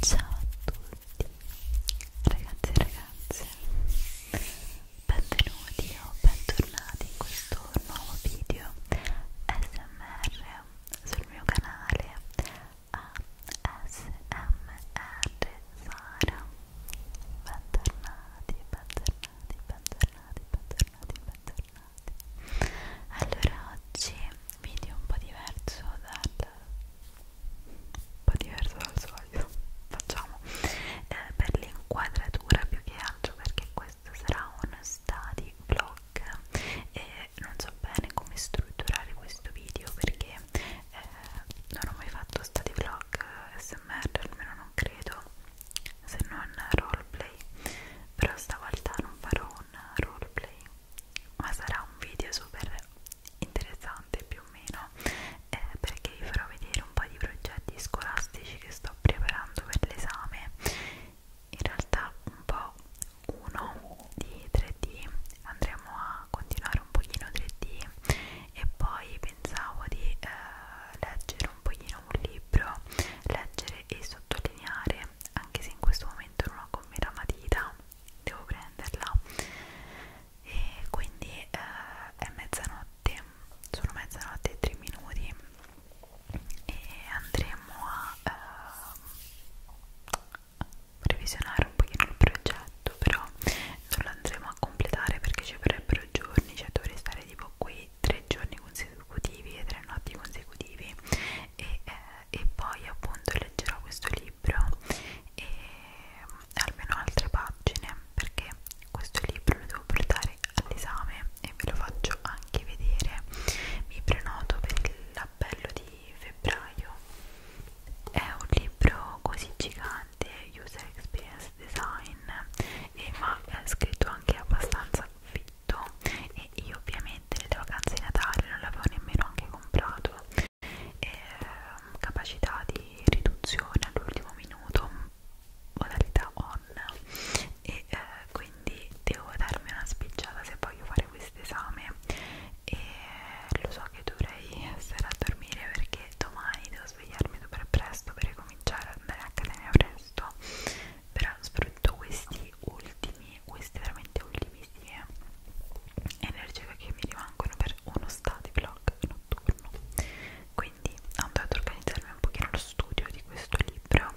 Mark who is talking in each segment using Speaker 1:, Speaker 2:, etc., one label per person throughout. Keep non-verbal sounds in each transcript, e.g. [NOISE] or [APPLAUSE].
Speaker 1: Ciao a tutti ragazzi e ragazze benvenuti o bentornati in questo nuovo video smr sul mio canale ASMR Sara bentornati bentornati bentornati bentornati bentornati bentornati allora oggi video un po' diverso dal un po' diverso dal solito [LAUGHS] facciamo eh, per l'inquadratura più che altro perché questo sarà un study vlog e non so bene come strutturare questo video perché eh, non ho mai fatto study vlog eh, smr almeno non credo se non roleplay però stavolta non farò un roleplay ma sarà un video super interessante più o meno eh, perché vi farò vedere un po' di progetti scolastici che sto preparando per l'esame in realtà un po' uno di 3D andremo a continuare un pochino 3D e poi pensavo di eh, leggere un pochino un libro leggere e sottolineare anche se in questo momento non ho con me la matita devo prenderla e quindi eh, è mezzanotte sono mezzanotte e tre minuti e andremo a eh, revisionare un pochino il progetto però non lo andremo a completare perché ci vorrebbero giorni cioè dovrei stare tipo qui fai tre giorni consecutivi e tre notti consecutivi e, eh, e poi appunto leggerò questo libro e mm, almeno altre pagine perché questo libro lo devo portare all'esame e ve lo faccio anche vedere mi prenoto per l'appello di febbraio è un libro così gigante user experience design eh, ma è scritto anche abbastanza figo tutto e io ovviamente nelle vacanze di Natale non l'avevo nemmeno anche comprato e, ehm, capacità di riduzione all'ultimo minuto modalità on e eh, quindi devo darmi una spicciata se voglio fare questo esame e lo so che dovrei stare a dormire perché domani devo svegliarmi super presto per ricominciare ad andare a accademia presto però soprattutto questi ultimi questi veramente ultimi sì, eh. energia che mi rimangono per uno study vlog notturno quindi ho andato a organizzarmi un pochino lo studio di questo libro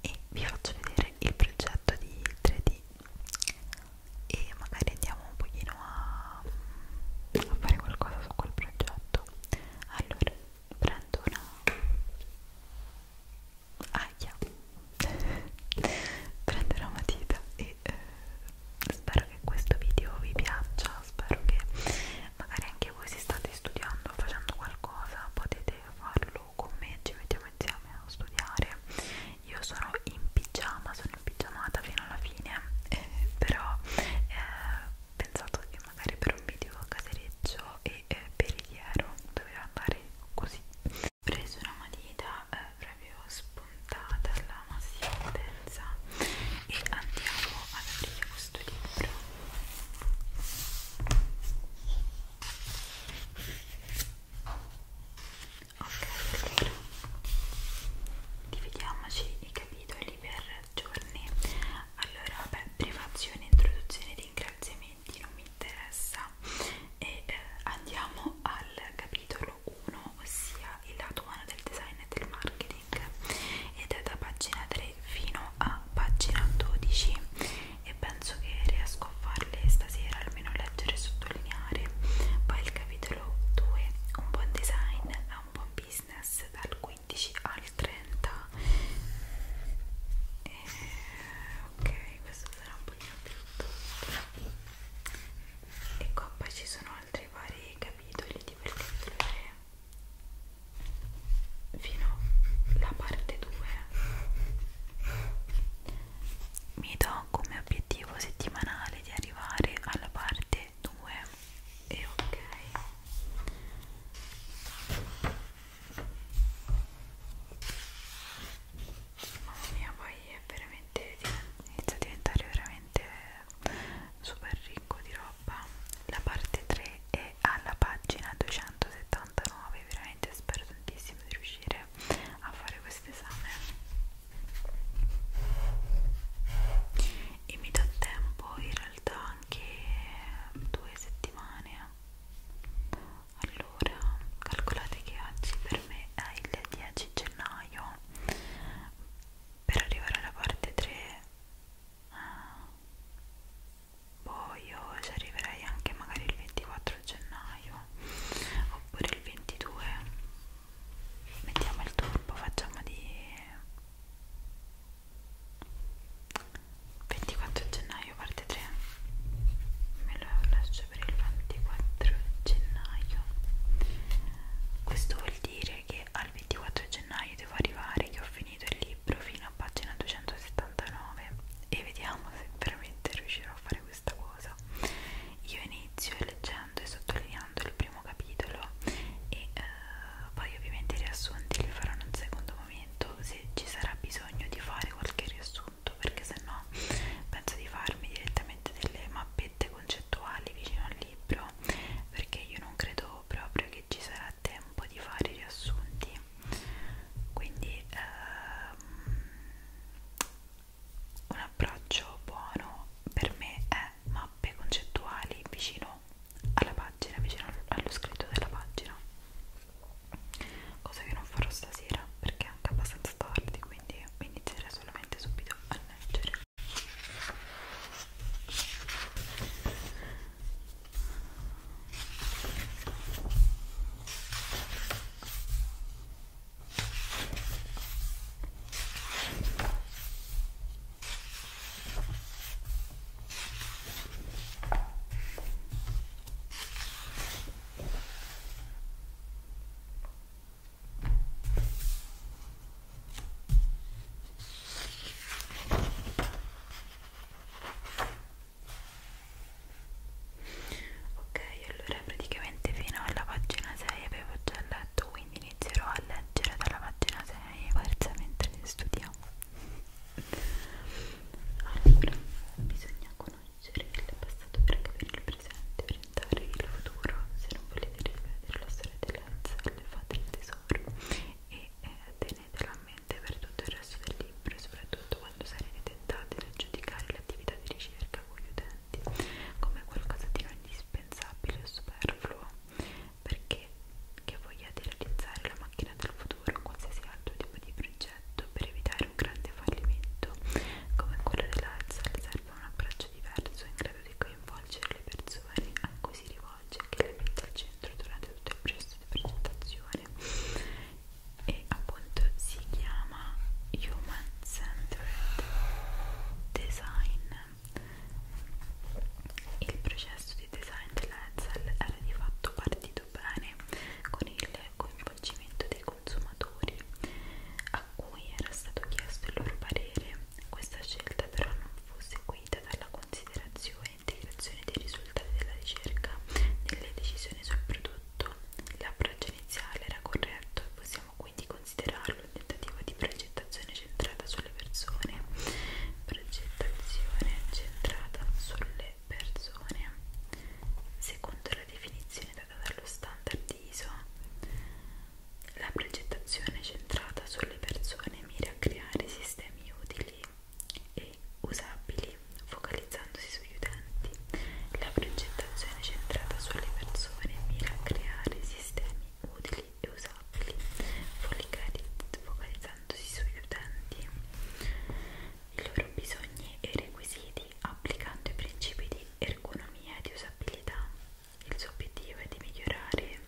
Speaker 1: e vi faccio vedere il progetto di 3D e magari andiamo un pochino a, a fare qualcosa su quel progetto allora prendo una aia [LAUGHS] prenderò matita e eh, spero che questo video vi piaccia spero che magari anche voi se state studiando facendo qualcosa potete farlo con me ci mettiamo insieme a studiare io sono in pigiama sono in pigiamata fino alla fine eh, però eh, pensate magari per un video casereccio e eh, periliero doveva andare così ho preso una matita eh, proprio spuntata alla massima potenza e andiamo ad aprire questo libro ok allora dividiamoci i capitoli per giorni allora vabbè privazione introduzione ringraziamento argomenti non mi interessa e eh, andiamo al capitolo 1 ossia il lato umano del design e del marketing ed è da pagina 3 fino a pagina 12 e penso che riesco a farle stasera almeno leggere e sottolineare poi il capitolo 2 un buon design a un buon business dal 15 15 al 30 e, eh, ok questo sarà un pochino più tutto e qua poi ci sono altri vari capitoli di quel capitolo 3 fino alla parte 2 mi do come obiettivo settimanale di arrivare alla parte 2 e ok Mamma mia, poi è veramente inizia a diventare veramente super ricco di roba. La parte 3 è alla pagina 279, veramente spero tantissimo di riuscire a fare questo esame. E mi dà tempo in realtà anche due settimane allora calcolate che oggi per me è il 10 gennaio per arrivare alla parte 3 poi io ci arriverei anche magari il 24 gennaio oppure il 22 mettiamo il turbo facciamo di 24 gennaio parte 3 me lo lascio per il 24 gennaio questo vuol dire che al 24 gennaio devo arrivare che ho finito il libro fino a pagina 279 e vediamo se veramente riuscirò a fare questa cosa io inizio leggendo e sottolineando il primo capitolo e eh, poi ovviamente i riassunti li farò in un secondo momento se ci sarà bisogno di fare qualche riassunto perché sennò penso di farmi direttamente delle mappette concettuali vicino al libro perché io non credo proprio che ci sarà tempo di fare i riassunti quindi ehm, un approccio buono per me è mappe concettuali vicino alla pagina, vicino allo scritto della pagina cosa che non farò stasera perché è anche abbastanza tardi quindi inizierei solamente subito a leggere Ok, allora praticamente fino alla pagina 6 avevo già letto, quindi inizierò a leggere dalla pagina 6 e forse mentre studiamo. Allora, bisogna conoscere il passato per capire il presente, orientare il futuro. Se non volete rivedere la storia delle aziende, fate il tesoro e eh, tenetelo a mente per tutto il resto del libro, soprattutto quando sarete tentati nel giudicare l'attività di ricerca con gli utenti come qualcosa di non indispensabile o superfluo perché che vogliate realizzare la macchina del futuro o qualsiasi altro tipo di progetto per evitare un grande fallimento come quello dell'Alzheimer serve un approccio diverso in grado di coinvolgere le persone a cui si rivolge che le mette al centro durante tutto il processo di presentazione e appunto si chiama Human Centered Design il processo di design dell'Edsel era di fatto partito gestito bene con il coinvolgimento dei consumatori a cui era stato chiesto il loro parere. Questa scelta però non fu seguita dalla considerazione e integrazione dei risultati della ricerca nelle decisioni sul prodotto. L'approccio iniziale era corretto e possiamo quindi considerarlo un tentativo di progettazione centrata sulle persone. Progettazione centrata sulle le persone secondo la definizione data dallo standard ISO la progettazione centrata sulle persone mira a creare sistemi utili e usabili focalizzandosi sugli utenti la progettazione centrata sulle persone mira a creare sistemi utili e usabili focalizzandosi intendosi sugli utenti, i loro bisogni e requisiti applicando i principi di ergonomia e di usabilità. Il suo obiettivo è di migliorare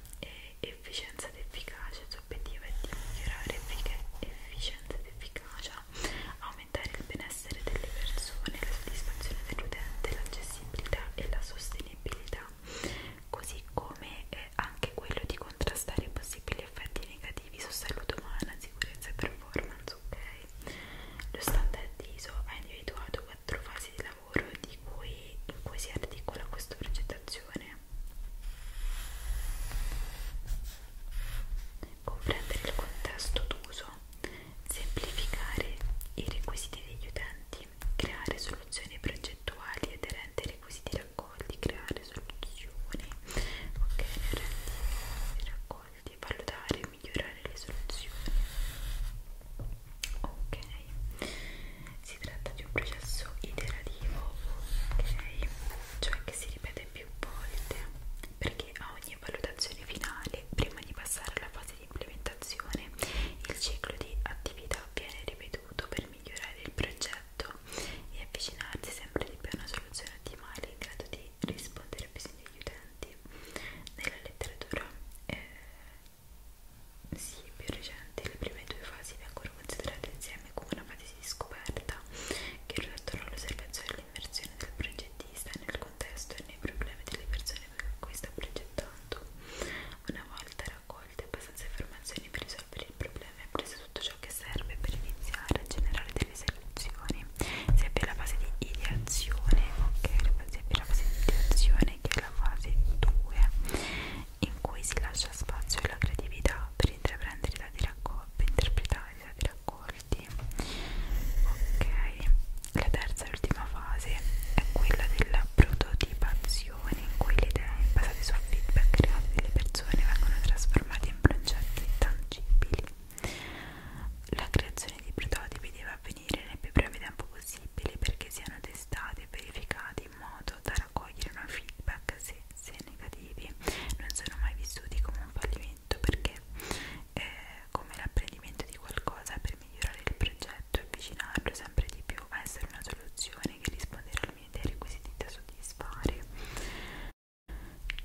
Speaker 1: efficienza ed efficacia, il suo obiettivo è di migliorare efficienza ed efficacia, aumentare il benessere delle persone, la soddisfazione dell'utente, l'accessibilità e la sostenibilità, così come eh, anche quello di contrastare possibili gli effetti negativi su salute umana, sicurezza e performance, ok? Lo standard ISO ha individuato quattro fasi di lavoro di cui, in cui si articola questa progettazione. Comprendere il contesto d'uso, semplificare i requisiti degli utenti, creare soluzioni progettuali aderenti ai requisiti raccogli, creare soluzioni, ok, narrativi, raccolti, valutare e migliorare le soluzioni. Ok, si tratta di un processo iterativo, ok, cioè che si ripete più volte perché a ogni valutazione finale, prima di passare alla fase di implementazione, il ciclo di attività viene ripetuto per per migliorare il progetto e avvicinarsi sempre di più a una soluzione ottimale in grado di rispondere ai bisogni degli utenti. Nella letteratura eh, sì, più recente, le prime due fasi vengono considerate insieme come una fase di scoperta che rilattano l'osservazione e l'immersione del progettista nel contesto e nei problemi delle persone per cui sta progettando. Una volta raccolte abbastanza informazioni per risolvere il problema e prese tutto ciò che serve per iniziare a generare delle soluzioni sia per la fase di ideazione ok sia per la fase di ideazione che è la fase 2 in cui si lascia spazio alla creatività per intraprendere i dati raccolti per interpretare i dati raccolti ok la terza e ultima fase è quella della prototipazione situazioni in cui le idee basate su feedback creati delle persone vengono trasformate in progetti tangibili. La creazione di prototipi deve avvenire nel più breve tempo possibile perché siano testati e verificati in modo da raccogliere un feedback se, se negativi non sono mai vissuti come un fallimento perché eh, come l'apprendimento di qualcosa per migliorare il progetto e avvicinarlo sempre di più a essere una soluzione che risponderà al determini dei requisiti da soddisfare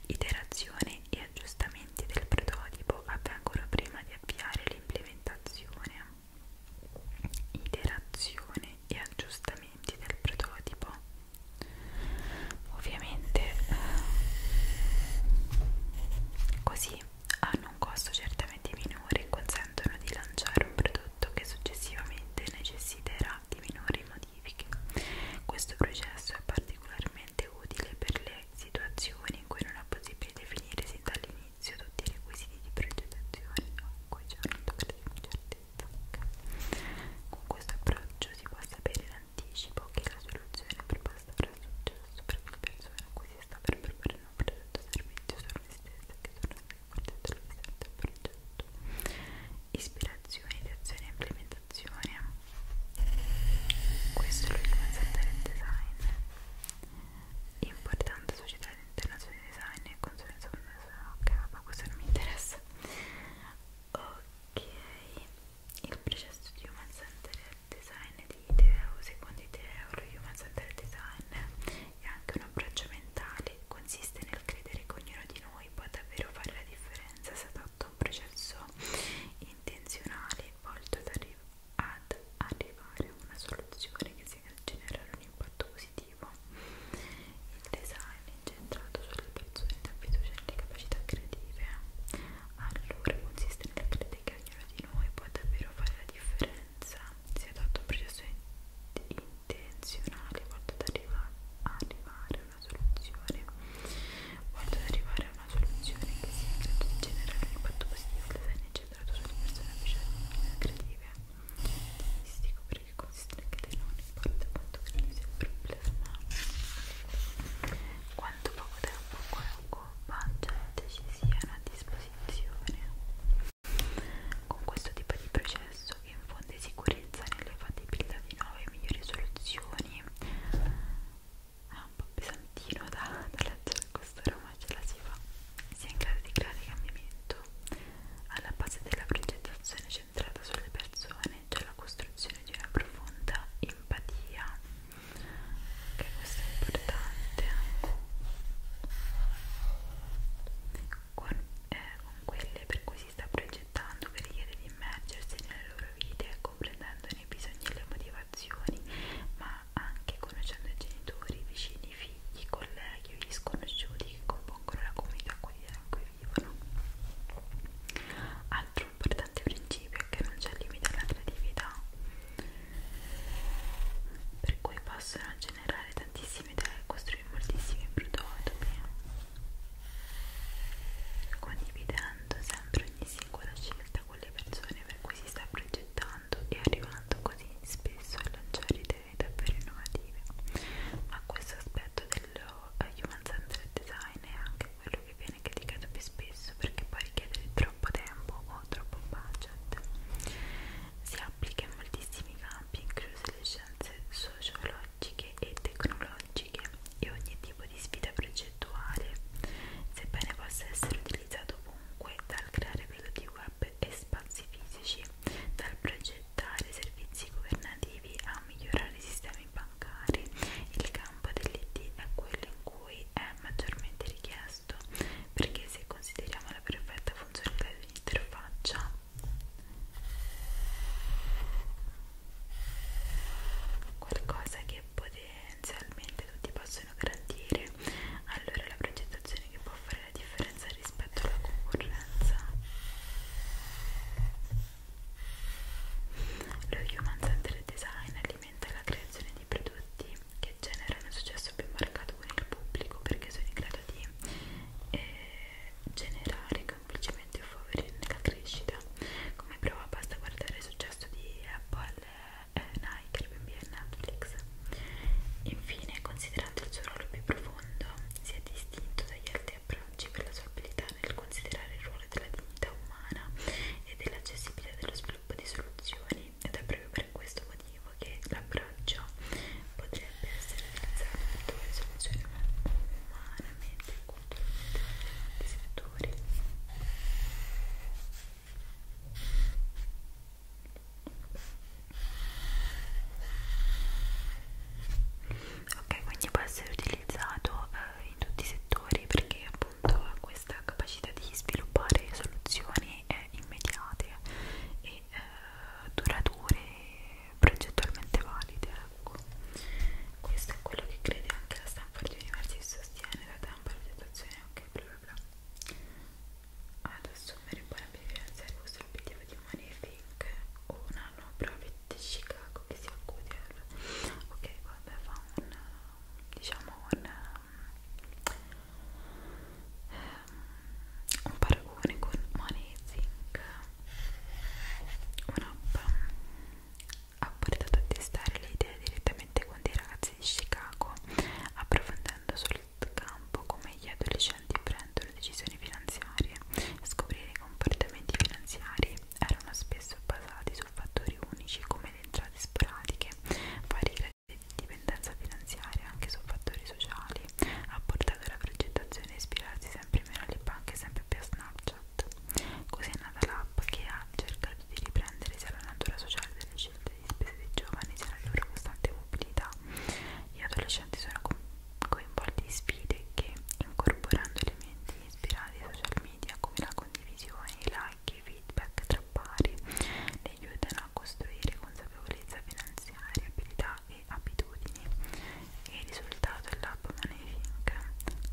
Speaker 1: Iterazione e aggiustamenti del prototipo avvengono prima di avviare l'implementazione Iterazione e aggiustamenti del prototipo Ovviamente così hanno un costo certamente minore e consentono di lanciare un prodotto che successivamente necessiterà di minori modifiche. Questo processo è particolarmente utile per le situazioni in cui non è possibile definire sin dall'inizio tutti i requisiti di progettazione o in cui c'è una certezza. Con questo approccio si può sapere in anticipo che la soluzione proposta avrà successo perché le persone a cui si sta per proporre un prodotto o servizio sono le stesse che sono 4,7% ispirazione, ideazione e implementazione questo è l'ultimo aspetto del design importante società di internazionale design e consulenza ok ma questo non mi interessa ok il processo di Human Centered Design di Ideo secondo Ideo lo Human Centered Design e anche un approccio mentale consiste nel credere che ognuno di noi può davvero fare la differenza se adotta un processo intenzionale volto ad, arri ad arrivare a una soluzione che sia generare un impatto positivo. Il design è incentrato sulle persone da fiducia nelle capacità creative. Allora consiste nel credere che ognuno di noi può davvero fare la differenza se adotta un processo intenzionale volta ad arriva, arrivare a una soluzione volta ad arrivare a una soluzione che sia in grado di generare un impatto positivo del design generato sulle persone creative stilistico perché consiste anche te non importa quanto credo sia il problema quanto poco tempo qualunque budget ci sia a disposizione con questo tipo di processo che infonde sicurezza nell'elevabilità di nuove migliori soluzioni è un po' pesantino da, da leggere questo ma ce la si fa si è in grado di creare cambiamento alla base della progettazione centrata sulle persone c'è cioè la costruzione di una profonda empatia che questo è importante con eh, con quelle per cui si sta progettando che richiede di immergersi nelle loro vite, comprendendone i bisogni e le motivazioni, ma anche conoscendo i genitori, vicini, figli, colleghi o gli sconosciuti che compongono la comunità quotidiana in cui vivono. Altro importante principio è che non c'è limite alla creatività, per cui possono generare tantissime moltissime idee, costruire moltissimi prototipi condividendo sempre ogni singola scelta con le persone per cui si sta progettando e arrivando così spesso a lanciare idee davvero innovative ma questo aspetto dello eh, Human Centered Design è anche quello che viene criticato più spesso perché può richiedere troppo tempo o troppo budget si applica in moltissimi campi incluse le scienze sociologiche e tecnologiche e ogni tipo di sfida progettuale, sebbene possa essere utilizzato ovunque dal creare prodotti web e spazi fisici, dal progettare servizi governativi a migliorare i sistemi bancari, il campo dell'IT è quello in cui è maggiormente richiesto perché se consideriamo la perfetta funzionalità di un'interfaccia qualcosa che potenzialmente tutti possono garantire allora la progettazione che può fare la differenza rispetto alla concorrenza lo Human Centered Design alimenta la creazione di prodotti che generano un successo più marcato con il pubblico perché sono in grado di eh, generare semplicemente o favorirne la crescita come prova basta guardare il successo di Apple, eh, Nike, Airbnb e Netflix infine considerando il suo ruolo più profondo si è distinto dagli altri approcci per la sua abilità nel considerare il ruolo della dignità umana e dell'accessibilità dello sviluppo di soluzioni ed è proprio per questo motivo che la braccio potrebbe essere realizzato per due soluzioni umanamente e culturalmente differenti settori ok quindi può essere utilizzato eh, in tutti i settori perché appunto ha questa capacità di sviluppare soluzioni eh, immediate e e eh, durature progettualmente valide ecco. questo è quello che crede anche la Stanford University sostiene da tempo la valutazione ok bla bla bla ad assumere parametri finanziari questo è l'obiettivo di Money Think o una no profit di Chicago che si occupa di ok vabbè fa un diciamo un un paragone con Money Zinc un'app ha portato a testare le idee direttamente con dei ragazzi di Chicago approfondendo sul campo come gli adolescenti prendono decisioni finanziarie scoprire i comportamenti finanziari erano spesso basati su fattori unici come le entrate sporadiche vari gradi di dipendenza finanziaria anche su fattori sociali sociali ha portato alla progettazione a ispirarsi sempre meno alle banche e sempre più a Snapchat. Così è nata l'app che ha cercato di riprendere sia la natura sociale delle scelte di spese dei giovani sia la loro costante mobilità. Gli adolescenti sono co coinvolti in sfide che, incorporando elementi ispirati ai social media come la condivisione, i like, i feedback tra pari, li aiutano a costruire consapevolezza finanziaria, abilità e abitudini e il risultato è l'App Managing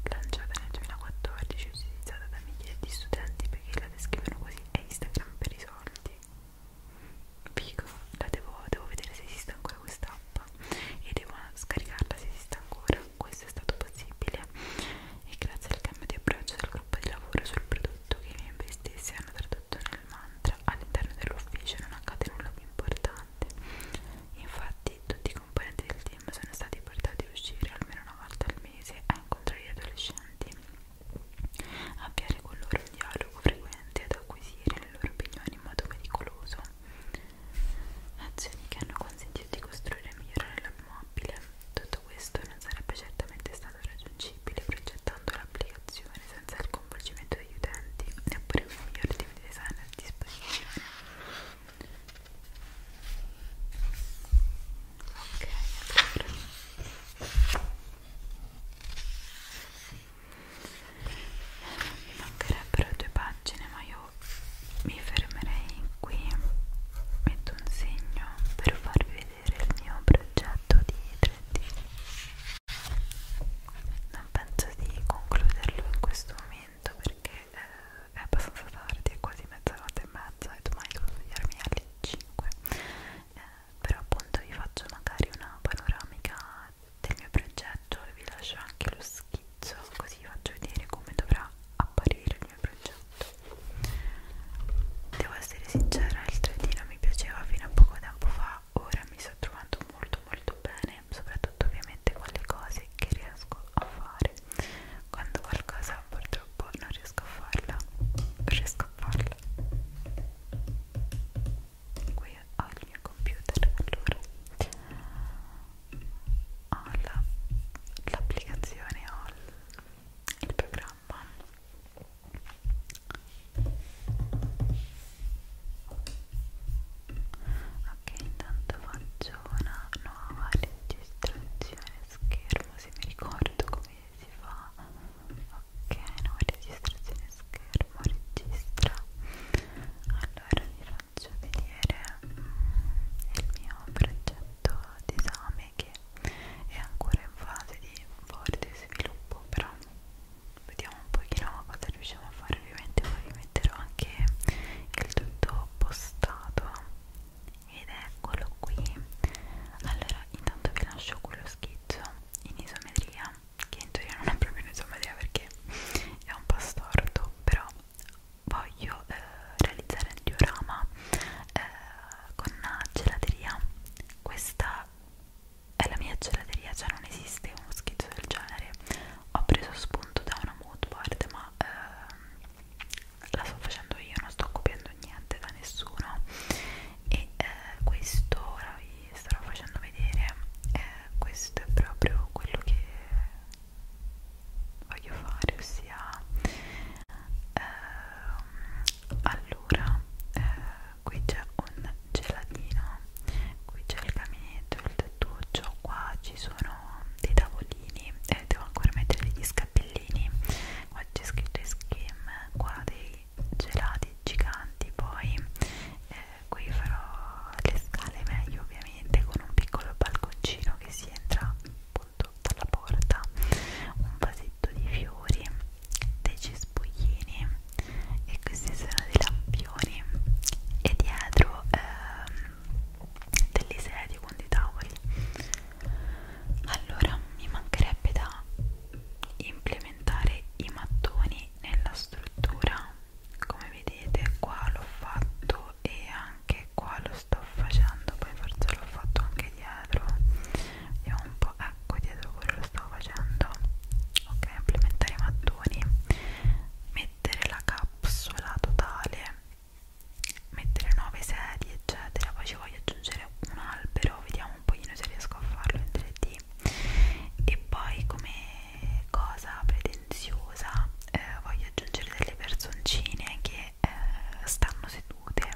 Speaker 1: lanciata nel 2014 e utilizzata da migliaia di studenti perché la descrivono così è Instagram per i soldi Figo, la devo, devo vedere se esiste ancora quest'app e devo scaricarla se esiste ancora questo è stato possibile e grazie al cambio di approccio del gruppo di lavoro sul prodotto che i miei investisse hanno tradotto introdotto nel mantra all'interno dell'ufficio non accade nulla più importante infatti tutti i componenti del team sono stati portati a uscire almeno una volta al mese a incontrare gli adolescenti avviare con loro un dialogo frequente ad acquisire le loro opinioni in modo pericoloso azioni che hanno consentito di costruire e migliorare l'automobile tutto questo non sarebbe certamente stato raggiungibile progettando l'applicazione funzione senza il coinvolgimento degli utenti, neppure con i migliori team di design a disposizione. Ok, allora. Mi mancherebbero due pagine, ma io mi fermerei qui. Metto un segno per farvi vedere il mio progetto di 3D non penso di concluderlo in questo momento perché eh, è abbastanza tardi, è quasi mezzanotte e mezza e domani devo svegliarmi alle 5 eh, però appunto vi faccio magari una panoramica del mio progetto e vi lascio anche lo schizzo così vi faccio vedere come dovrà apparire il mio progetto devo essere sincera il 3D non mi piaceva fino a poco tempo fa ora mi sto trovando molto molto bene soprattutto ovviamente con le cose che riesco a fare quando qualcosa purtroppo non riesco a farla riesco a farla qui ho il mio computer allora ho l'applicazione la, ho il programma ok intanto faccio una nuova registrazione schermo se mi ricordo come si fa ok nuova registrazione schermo registra allora vi faccio vedere mm, il mio progetto d'esame che è ancora in fase di forte sviluppo però vediamo un pochino cosa riusciamo a fare ovviamente poi vi metterò anche il tutto postato ed eccolo qui allora intanto vi lascio quello schizzo in isometria che in teoria non è proprio un'isometria perché è un po' storto però voglio eh, realizzare il diorama eh, con gelateria questa alla mia gelateria cioè non esiste uno schizzo del genere ho preso spunto da una mood board ma eh, la sto facendo io non sto copiando niente da nessuno e eh, questo ora vi starò facendo vedere eh, questo è proprio quello che voglio fare ossia eh, allora eh, qui c'è un gelatino qui c'è il caminetto il tettuccio qua ci sono dei tavolini e eh, devo ancora mettere gli scappellini qua c'è scritto skim qua dei gelati giganti poi eh, qui farò le scale meglio ovviamente con un piccolo balconcino che si entra appunto dalla porta un vasetto di fiori dei cespuglini e questi sono dei lampioni e dietro ehm, degli sedie con dei tavoli allora mi mancherebbe da implementare i mattoni nella struttura come vedete qua l'ho fatto e anche qua lo sto facendo poi forse l'ho fatto anche dietro vediamo un po' eh, ecco dietro quello lo stavo facendo ok implementare i mattoni mettere la capsula totale mettere 9 sedie eccetera poi ci voglio aggiungere un albero vediamo un pochino se riesco a farlo in 3D e poi come cosa pretenziosa eh, voglio aggiungere delle personcine che eh, stanno sedute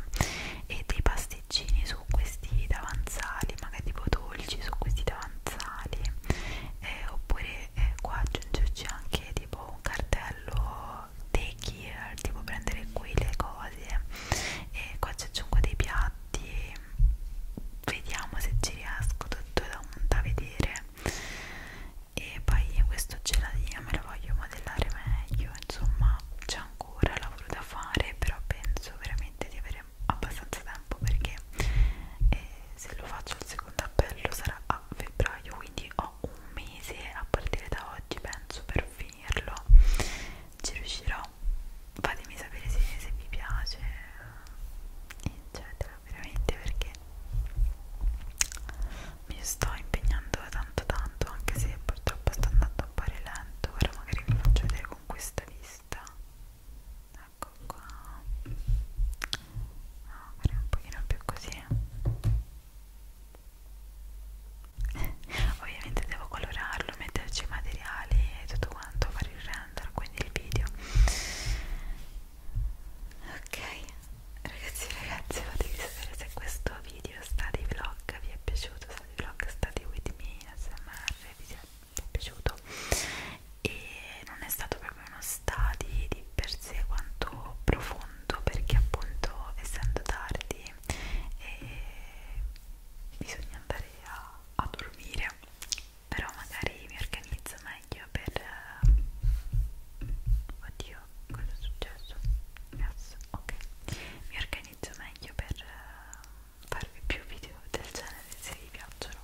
Speaker 1: e dei pasti latticini su questi davanzali magari tipo dolci su questi davanzali eh, oppure eh, qua aggiungerci anche tipo un cartello take here tipo prendere qui le cose e qua ci aggiungo dei piatti vediamo se ci riesco tutto da, da vedere e poi questo gelatino me lo voglio modellare meglio insomma c'è ancora lavoro da fare però penso veramente di avere abbastanza tempo perché eh, se lo faccio il secondo appello sarà a febbraio quindi ho un mese a partire da oggi penso per finirlo ci riuscirò fatemi sapere se, se vi piace eccetera veramente perché mi sto impegnando tanto tanto anche se purtroppo sto andando un po' lento ora magari vi faccio vedere con questa vista ecco qua no, farei un pochino più così [LAUGHS] ovviamente devo colorarlo metterci i materiali e tutto quanto fare il render quindi il video ok ragazzi ragazzi fatemi sapere se questo video sta di vlog vi è piaciuto sta di vlog sta di with me smr vi siete è piaciuto e non è stato proprio uno study di per sé quanto profondo perché appunto essendo tardi eh, bisogna andare a, a dormire però magari mi organizzo meglio per eh, oddio cosa è successo? Yes, ok mi organizzo meglio per eh, farvi più video del genere se vi piacciono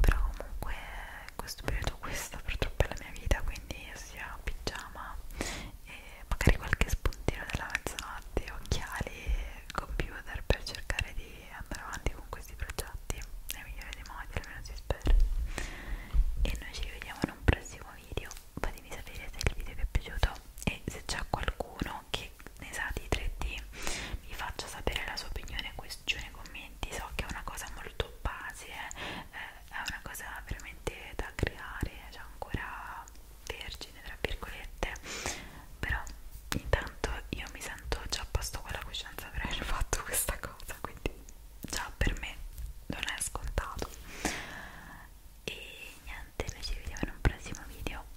Speaker 1: però comunque in questo periodo questa purtroppo è la mia vita quindi sia pigiama e magari qualche spuntino della mezzanotte occhiali computer per cercare di andare avanti con questi progetti nel migliore dei modi almeno si spera e noi ci vediamo in un prossimo video fatemi sapere se il video vi è piaciuto e se c'è qualcuno che ne sa di 3D mi faccia sapere la sua opinione qui giù nei commenti so che è una cosa molto base eh, eh è una cosa veramente da creare cioè ancora vergine tra virgolette però intanto io mi sento già a posto con la coscienza per aver fatto questa cosa quindi già per me non è scontato e niente noi ci vediamo in un prossimo video